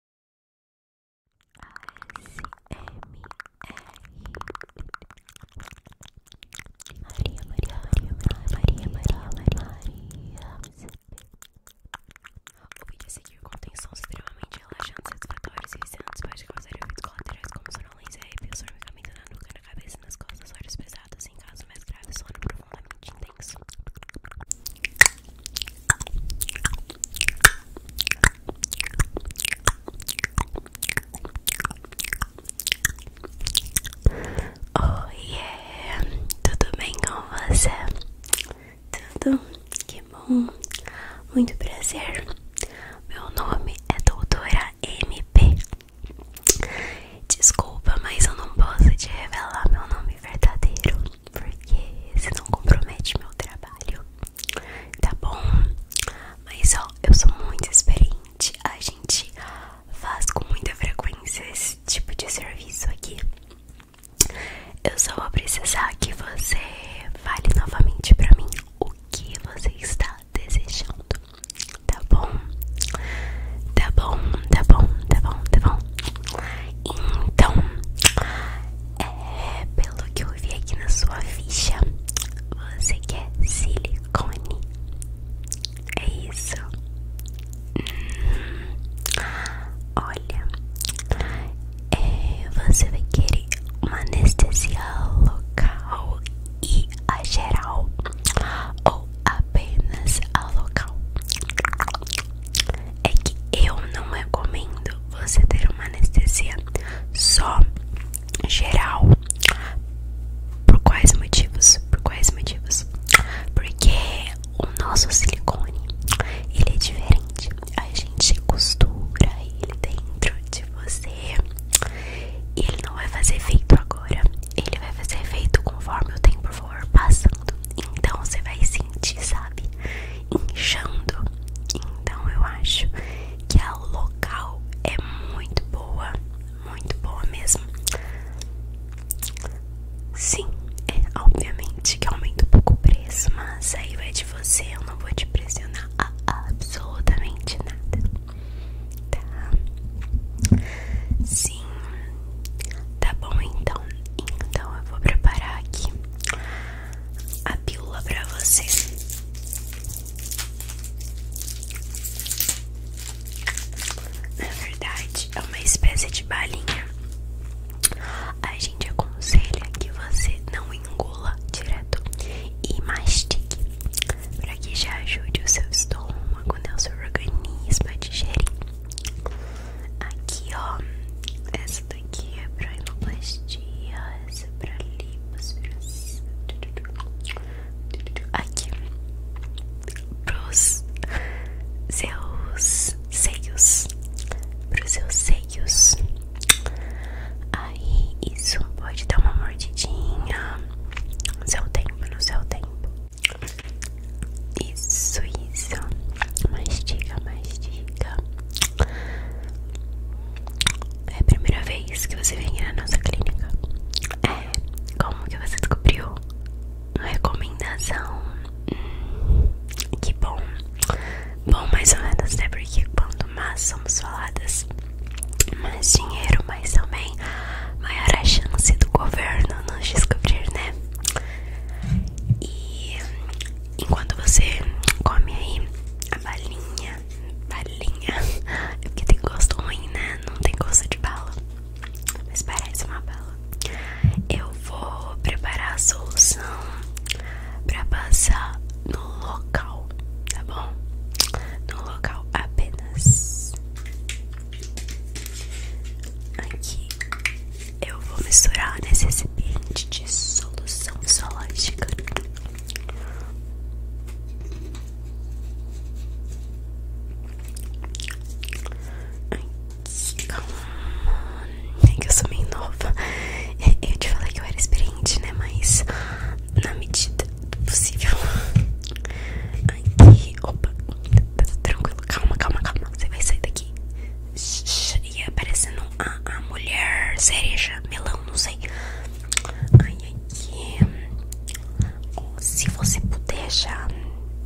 Maria, Maria, Maria, Maria, Maria, Maria. O vídeo a seguir contém sons extremamente relaxantes, satisfatórios e viciantes. Pode causar efeitos colaterais como sonolência, arrepios, formigamento na nuca, na cabeça nas costas, olhos pesados. Em casos mais graves, sono profundamente intenso. Oh yeah, é. tudo bem com você? Tudo? Que bom, muito prazer. Meu nome é Doutora MP. Desculpa, mas eu não posso te revelar meu nome verdadeiro porque você não compromete meu trabalho, tá bom? Mas ó, eu sou muito experiente, a gente faz com muita frequência esse tipo de serviço aqui. Eu só vou precisar que você fale novamente pra mim o que você está desejando, tá bom? Tá bom, tá bom, tá bom, tá bom. Então, é, pelo que eu vi aqui na sua ficha, você quer silicone. É isso. Hum, olha, é, você vai querer uma anestesia local e a geral ou apenas a local? é que eu não recomendo você ter uma anestesia só geral. Por quais motivos? Por quais motivos? Porque o nosso silicone, ele é diferente. A gente costura ele dentro de você. E ele não vai fazer efeito agora. Ele vai fazer efeito conforme o tempo for passando. Então você vai sentir, sabe? inchando. Então eu acho que a local é muito boa, muito boa mesmo. Sim, é obviamente que aumenta um pouco o preço, mas aí vai de você, eu não vou te pressionar a absolutamente nada. Tá? Sim. Tá bom então. Então, então, eu vou preparar aqui a pílula para você. Na verdade, é uma espécie de balinha. A gente aconselha que você não engula direto e mastigue, para que já ajude o seu estômago, né, o seu organismo a digerir. Aqui, ó. Essa daqui é pra endoplastia, essa é pra lipoaspiração. Aqui. Pros seus seios. Pros seus seios. Aí, isso. Pode dar uma mordidinha. No seu tempo, no seu tempo. Isso, isso. Mastiga, mastiga. É a primeira vez que você vem na nossa clínica. É. Como que você descobriu? Recomendação. Hum, que bom. Bom, mais ou menos, né? Porque quanto mais somos faladas, mais dinheiro, mais também maior a chance do governo nos descobrir, né? E enquanto você come aí a balinha, balinha, é porque tem gosto ruim, né? Não tem gosto de bala, mas parece uma bala. Eu vou preparar a solução pra passar no local, tá bom? No local apenas. Aqui eu vou misturar nesse recipiente de solução fisiológica. Calma, nem é que eu sou meio nova. Eu te falei que eu era experiente, né? Mas na medida do possível. Aqui, opa, tá tranquilo, calma, calma, calma. Você vai sair daqui e aparecendo a, a mulher cereja, melão, não sei. Ai, aqui. Se você puder já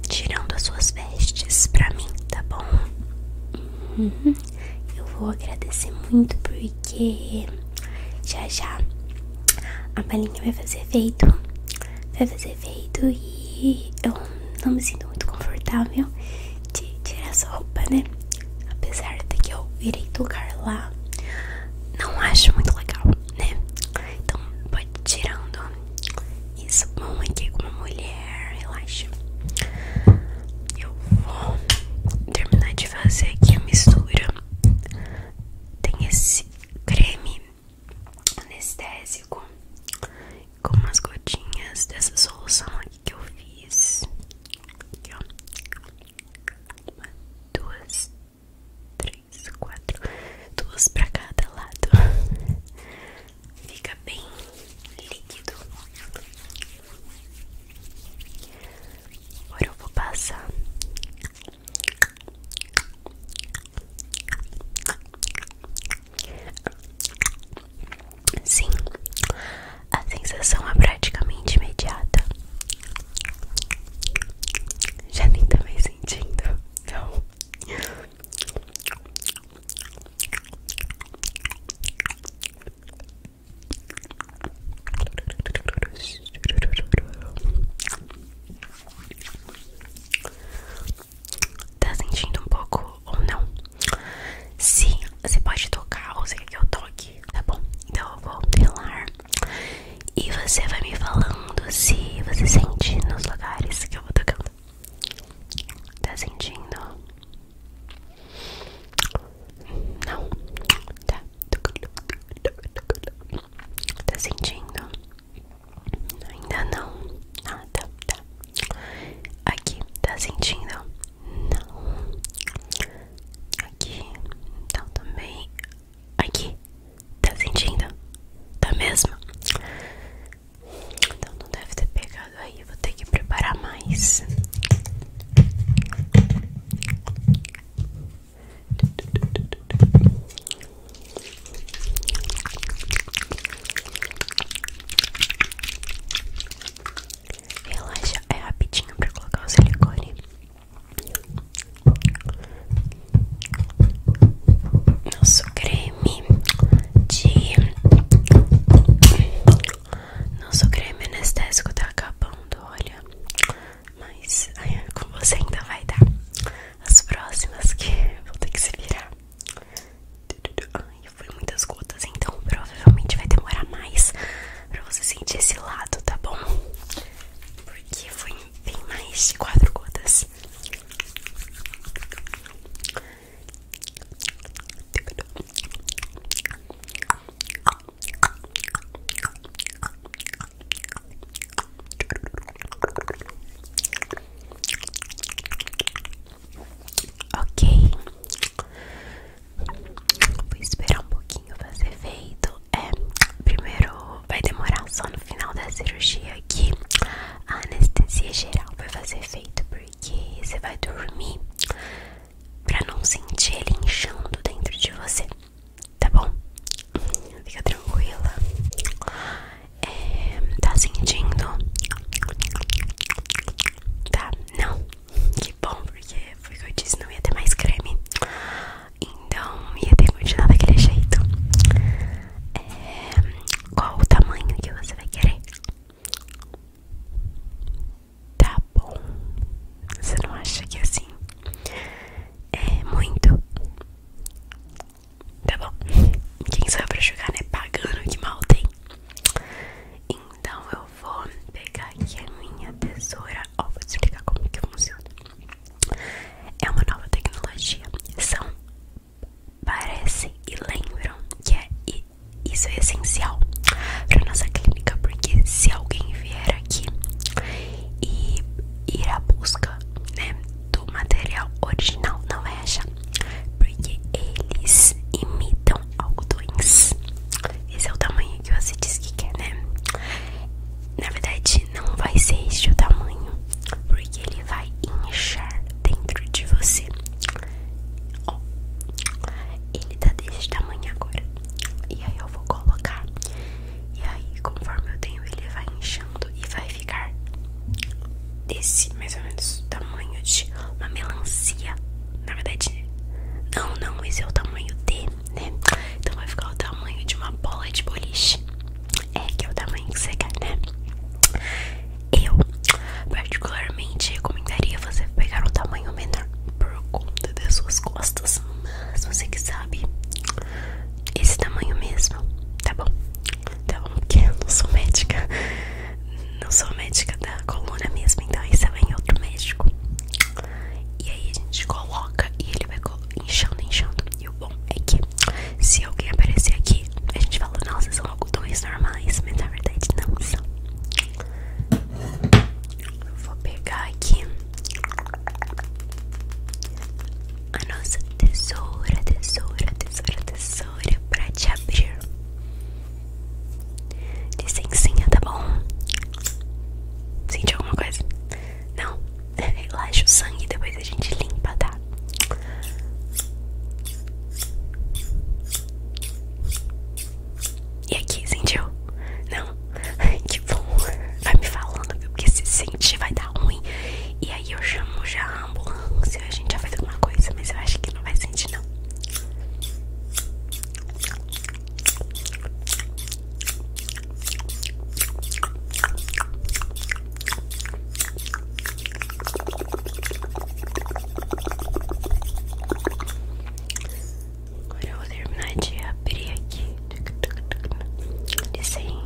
tirando as suas vestes pra mim, tá bom? Uhum. Eu vou agradecer muito porque já já a balinha vai fazer efeito vai fazer efeito e eu não me sinto muito confortável de tirar essa roupa, né? Apesar de que eu irei tocar lá, não acho muito legal, né? Então pode tirando isso bom aqui com uma mulher, relaxa. Eu vou terminar de fazer aqui a mistura. Tem esse creme anestésico com umas gotinhas dessa solução aqui que eu fiz. Aqui, ó. Uma, duas, três, quatro. Duas pra cada lado. Fica bem líquido. Agora eu vou passar Sim, a sensação é praticamente imediata. Já nem tá mais sentindo, não tá sentindo um pouco ou não. sim, você pode tocar ou você quer que eu toque, tá bom? Então eu vou pelar e você vai me falando se você sente nos lugares que eu vou tocando. Tá sentindo? Não? Tá. Tá sentindo? Ainda não. nada tá. Aqui, tá sentindo? Não. Aqui, então também. Aqui, tá sentindo? Tá mesmo? Então não deve ter pegado aí. Vou ter que preparar mais. Relaxa, é rapidinho pra colocar o silicone. Nosso creme de. Nosso creme anestésico tá acabando, olha. Mas com você ainda vai dar as próximas que vou ter que se virar. Ai, foi muitas gotas, então provavelmente vai demorar mais pra você sentir esse lado, tá bom? Porque foi bem mais de quatro gotas. Ok, vou esperar um pouquinho fazer feito. É, primeiro vai demorar só no final da cirurgia que a anestesia geral vai fazer feito, porque você vai dormir pra não sentir ele inchando dentro de você, tá bom? Fica tranquila é, tá sentindo? Tá, não? Que bom, porque foi o que eu disse, não ia ter mais creme Então ia ter continuado daquele jeito é, Qual o tamanho que você vai querer? Tá bom Você não acha que é assim é muito? Tá bom? Quem sabe eu pra jogar, né? Pagando, que mal tem. Então eu vou pegar aqui a minha tesoura. Ó, vou te explicar como é que funciona. É uma nova tecnologia. São, parecem e lembram que é, isso é essencial pra nossa clínica. Porque se alguém vier aqui e ir à busca, né? do material original não é, achar, porque eles imitam algodões. Esse é o tamanho que você disse que quer, né? Na verdade, não vai ser este o tamanho, porque ele vai inchar dentro de você. Ó, ele tá desse tamanho agora. E aí eu vou colocar. E aí, conforme eu tenho, ele vai inchando e vai ficar desse mais ou menos tamanho de uma melancia. Na verdade, não, não, esse é o tamanho D, né? Então vai ficar o tamanho de uma bola de boliche. É que é o tamanho que você quer, né? Eu particularmente recomendaria você pegar um tamanho menor por conta das suas costas. Mas você que sabe, esse tamanho mesmo, tá bom? Então, porque eu não sou médica, não sou médica da coluna mesmo, então isso é em outro médico. E aí a gente coloca e ele vai inchando, inchando. E o bom é que se alguém aparecer aqui, a gente fala, nossa, são algodões normais, mas na verdade não são. Eu vou pegar aqui a nossa tesoura, tesoura, tesoura, tesoura pra te abrir. Licencinha, tá bom? Sentiu alguma coisa? Não? Relaxa o sangue e depois a gente limpa, tá? E aqui, sentiu? Não? Que bom. Vai me falando, viu? Porque se sentir vai dar ruim. E aí eu chamo já a a gente já fez alguma coisa, mas eu acho que não vai sentir não. Agora eu vou terminar de abrir aqui. Licença.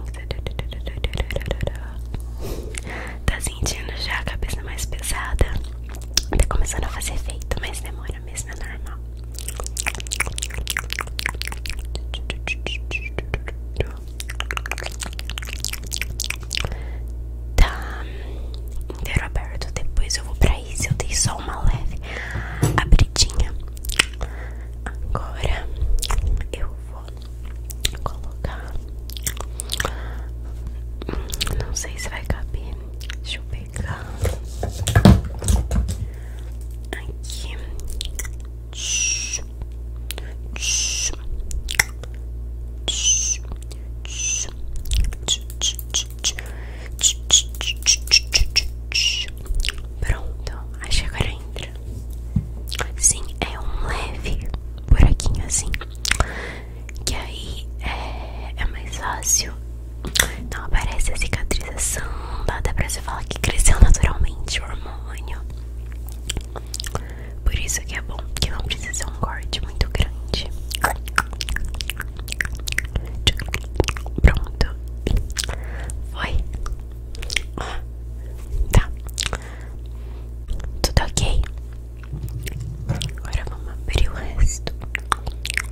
Tá sentindo já a cabeça mais pesada? Tá começando a fazer efeito, mas demora mesmo, é normal. Tá inteiro aberto. Depois eu vou pra isso. Eu dei só uma leve abridinha. Agora eu vou colocar. Não sei se vai caber. Deixa eu pegar aqui. Pronto, acho que agora ainda Sim, é um leve buraquinho assim. Que aí é, é mais fácil. Não aparece a cicatrização. Dá pra você falar que cresceu naturalmente o hormônio. Por isso que é bom, que não precisa ser um corte muito grande. Pronto. Foi. Tá. Tudo ok? Agora vamos abrir o resto. Tá,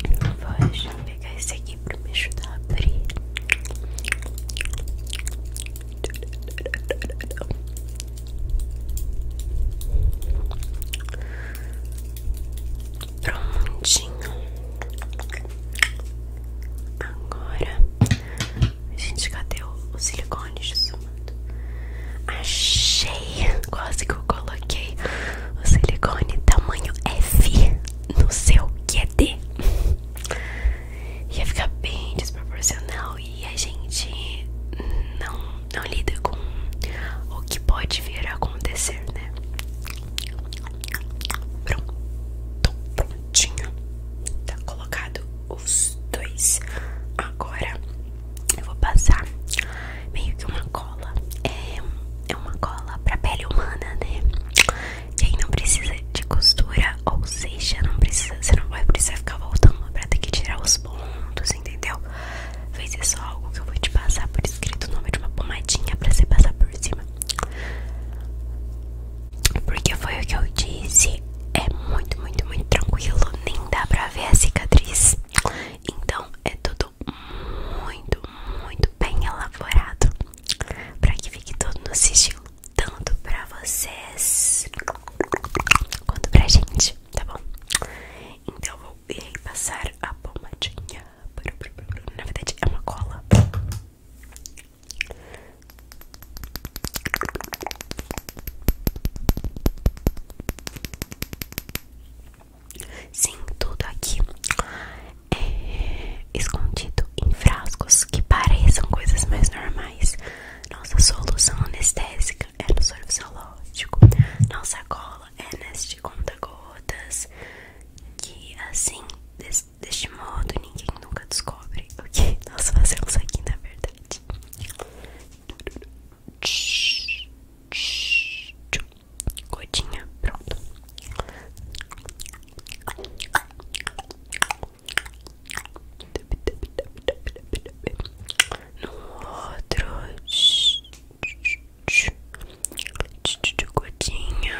Pronto. Vou pegar esse aqui para me ajudar a abrir. Prontinho. Agora a gente cadê o silicone, Jesus? Achei! Quase que eu coloquei o silicone tamanho F no seu que é D. Ia ficar bem desproporcional e a gente não, não lida com o que pode vir a acontecer, né? Pronto, prontinho. Tá colocado os dois. Agora eu vou passar meio que uma cola. É, é uma cola pra pele humana, né? E aí não precisa de costura, ou seja, não precisa, você não vai precisar ficar voltando pra ter que tirar os pontos, entendeu? Vai ser só algo que eu vou te passar por escrito o nome de uma pomadinha pra você passar por cima. Porque foi o que eu disse, é muito, muito, muito tranquilo, nem dá pra ver a cicatriz. Então é tudo muito, muito bem elaborado para que fique tudo no sigilo, tanto para vocês quanto pra gente, tá bom? Então eu vou ir passar a pomadinha. Na verdade é uma cola. Sim, tudo aqui é escondido em frascos que pareçam coisas mais normais. Nossa solução anestésica é no sorvete celóstico. Nossa cola é neste conta-gotas. Que assim, deste modo, ninguém nunca descobre o que nós fazemos aqui, na verdade. Gotinha, pronto. No outro, gotinha.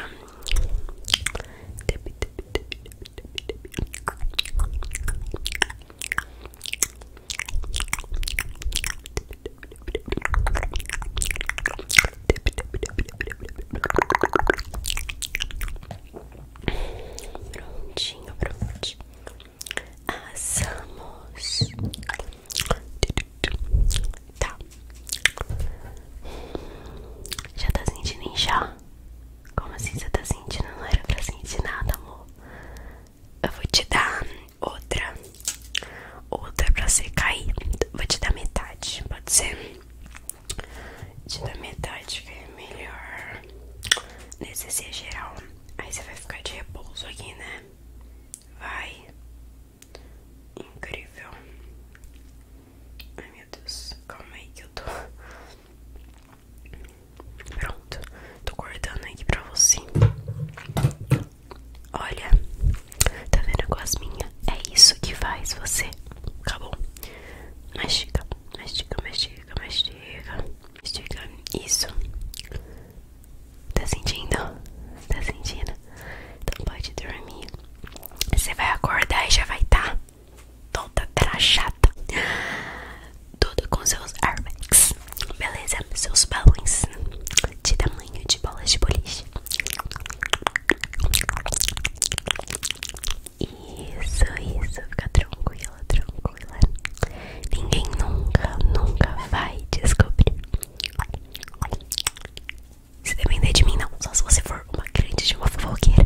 Prontinho, prontinho. Assamos. Tá. Já tá sentindo inchar? Como assim você tá sentindo? Não era pra sentir nada, amor eu vou te dar outra, outra pra você cair. Vou te dar metade, pode ser? te dar metade que é melhor. Nesse geral. Aí você vai ficar de repouso aqui, né? Vai. Incrível. Ai meu Deus, calma aí que eu tô Pronto, tô cortando aqui pra você. Olha, tá vendo com as minhas? É isso que faz você. Acabou. Mastiga, mastiga, mastiga, mastiga. Mastiga, isso. Tá sentindo? Tá sentindo? Então pode dormir. Você vai acordar e já vai estar tá toda trachada tudo com seus airbags, beleza? Seus balões de tamanho de bolas de boliche. Isso, isso, fica tranquila, tranquila. Ninguém nunca, nunca vai descobrir. Se depender de mim, não. Só se você for uma grande de uma fofoqueira.